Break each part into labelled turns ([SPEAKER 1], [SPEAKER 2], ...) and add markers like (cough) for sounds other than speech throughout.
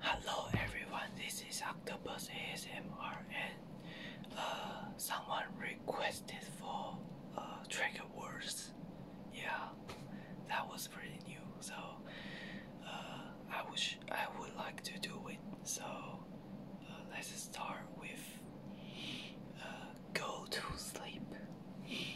[SPEAKER 1] Hello everyone, this is Octopus ASMR and uh, someone requested for uh, trigger words. Yeah, that was pretty new. So uh, I wish I would like to do it. So uh, let's start with go to sleep.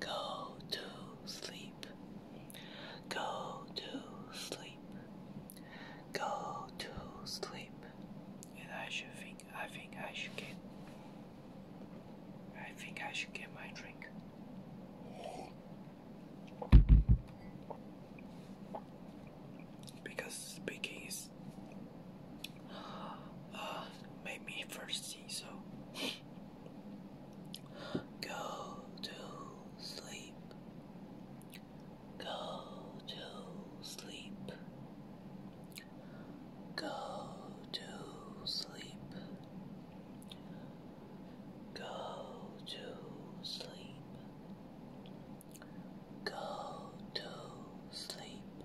[SPEAKER 1] Go to sleep. Go to sleep. Go to sleep. And I should think I think I should get I think I should get my drink. Because speaking uh, made me thirsty, so (laughs) go to sleep. Go to sleep. Go to sleep. Go to sleep. Go to sleep.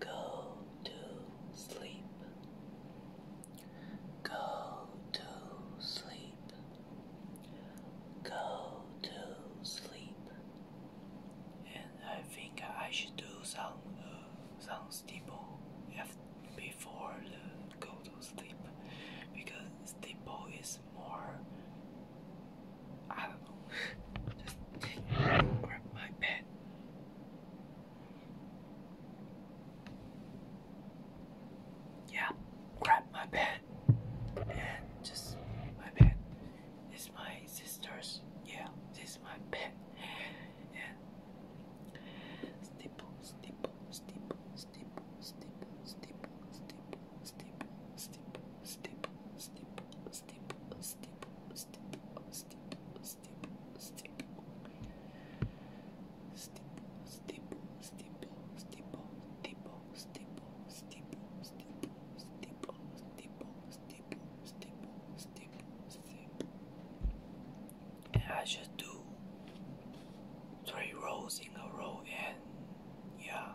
[SPEAKER 1] Go to sleep. Go to sleep. Go to sleep. And I think I should do some uh, some steeple before the go to sleep because steeple is more. I don't know. Just grab my pen. Yeah, grab my pen. And just my pen. This my sister's. Yeah, this my pen. And steeple, steeple, steeple, steeple, steeple, steeple, steeple, steep, steep, steep, steep, steep, steep, steep, steep, steep, steep. Steep, steep, steep, steep, steep, steep, steep, steep, steep, steep, steep, steep, steep, steep. And I should do three rows in a row and yeah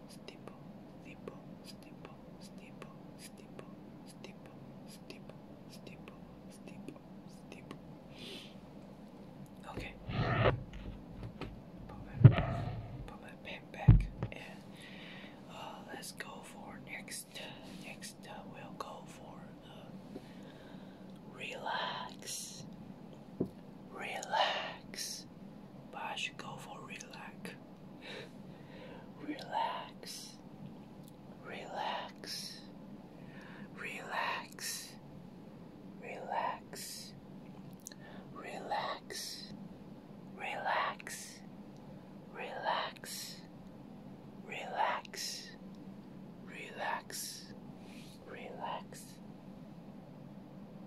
[SPEAKER 1] steeple, steeple, steeple, steeple, steeple, steeple, steeple, steeple, steeple, Okay. Put my, put my pen back and uh, let's go for next. Next, uh, we'll go for relax, relax relax, but I should go for relax. relax, relax, relax, relax, relax, relax, relax, relax, relax, relax.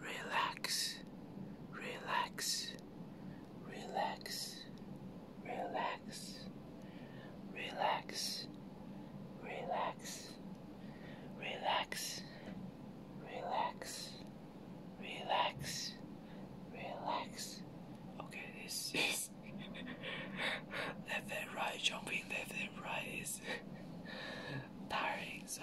[SPEAKER 1] relax, relax, relax, relax, relax, relax, relax, relax, relax, relax. Okay, this is left and right jumping left and right is tiring so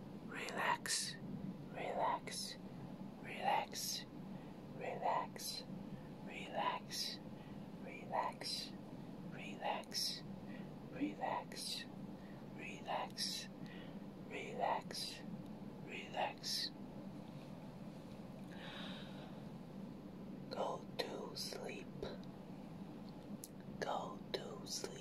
[SPEAKER 1] relax, relax, relax, relax, relax, relax, relax, relax, relax, relax, relax. Go to sleep. Go to sleep.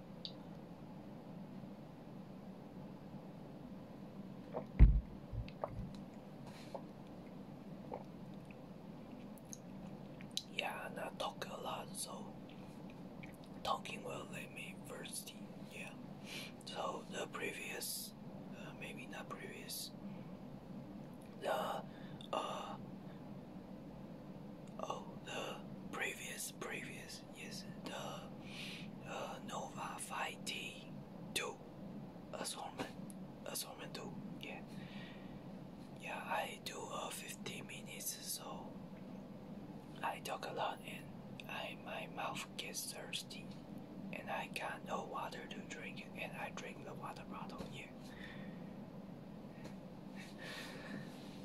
[SPEAKER 1] Yeah, and I talk a lot, so talking will let me thirsty. Yeah, so the previous, uh, maybe not previous, the uh, oh, the previous, previous yes, the uh, uh, Nova 5T2 assortment, assortment 2, yeah. Yeah, I do uh, 15 minutes, so I talk a lot and I my mouth gets thirsty and I got no water to drink and I drink the water bottle here. (laughs)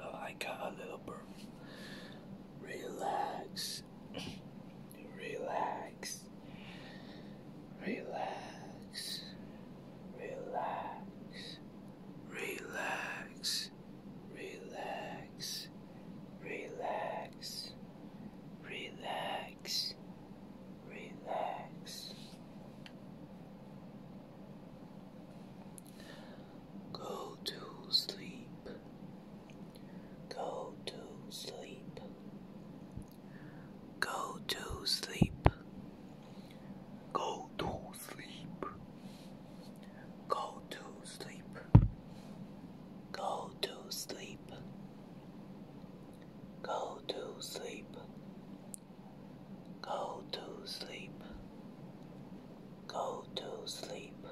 [SPEAKER 1] Oh, I got a little burp. Relax. (clears throat) Relax. Relax. Relax. Relax. Relax. Relax. Relax relax. Go to sleep. Go to sleep. Go to sleep. Go to sleep. Go to sleep. Go to sleep. Go to sleep. Go to sleep. Go to sleep. Go to sleep.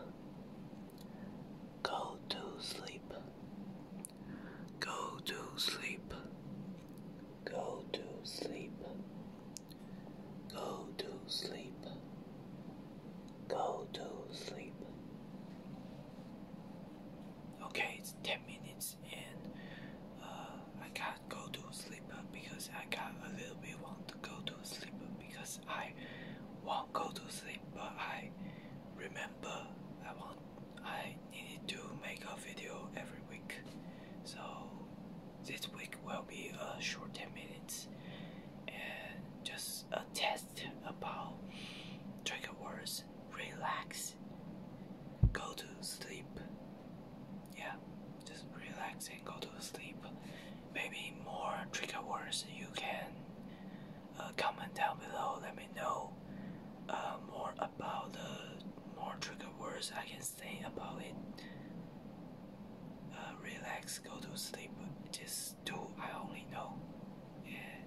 [SPEAKER 1] Go to sleep. Go to sleep. Go to sleep. Go to sleep. Go to sleep. Okay, it's 10 minutes and uh, I can't go to sleep because I got a little bit want to go to sleep because I won't go to sleep but I remember I want I needed to make a video every week so this week will be a short 10 minutes and just a test about trigger words relax Go to sleep. Yeah, just relax and go to sleep. Maybe more trigger words you can uh, comment down below. Let me know uh, more about the more trigger words I can say about it. Uh, relax, go to sleep. Just do I only know and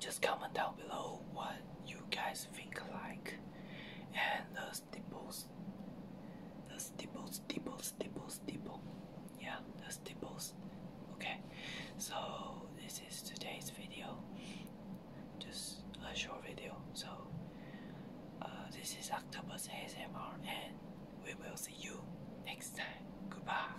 [SPEAKER 1] just comment down below what you guys think like and the steeples the steeples steeples steeples steeple yeah the steeples okay so this is today's video just a short video so uh, this is Octopus ASMR and we will see you next time goodbye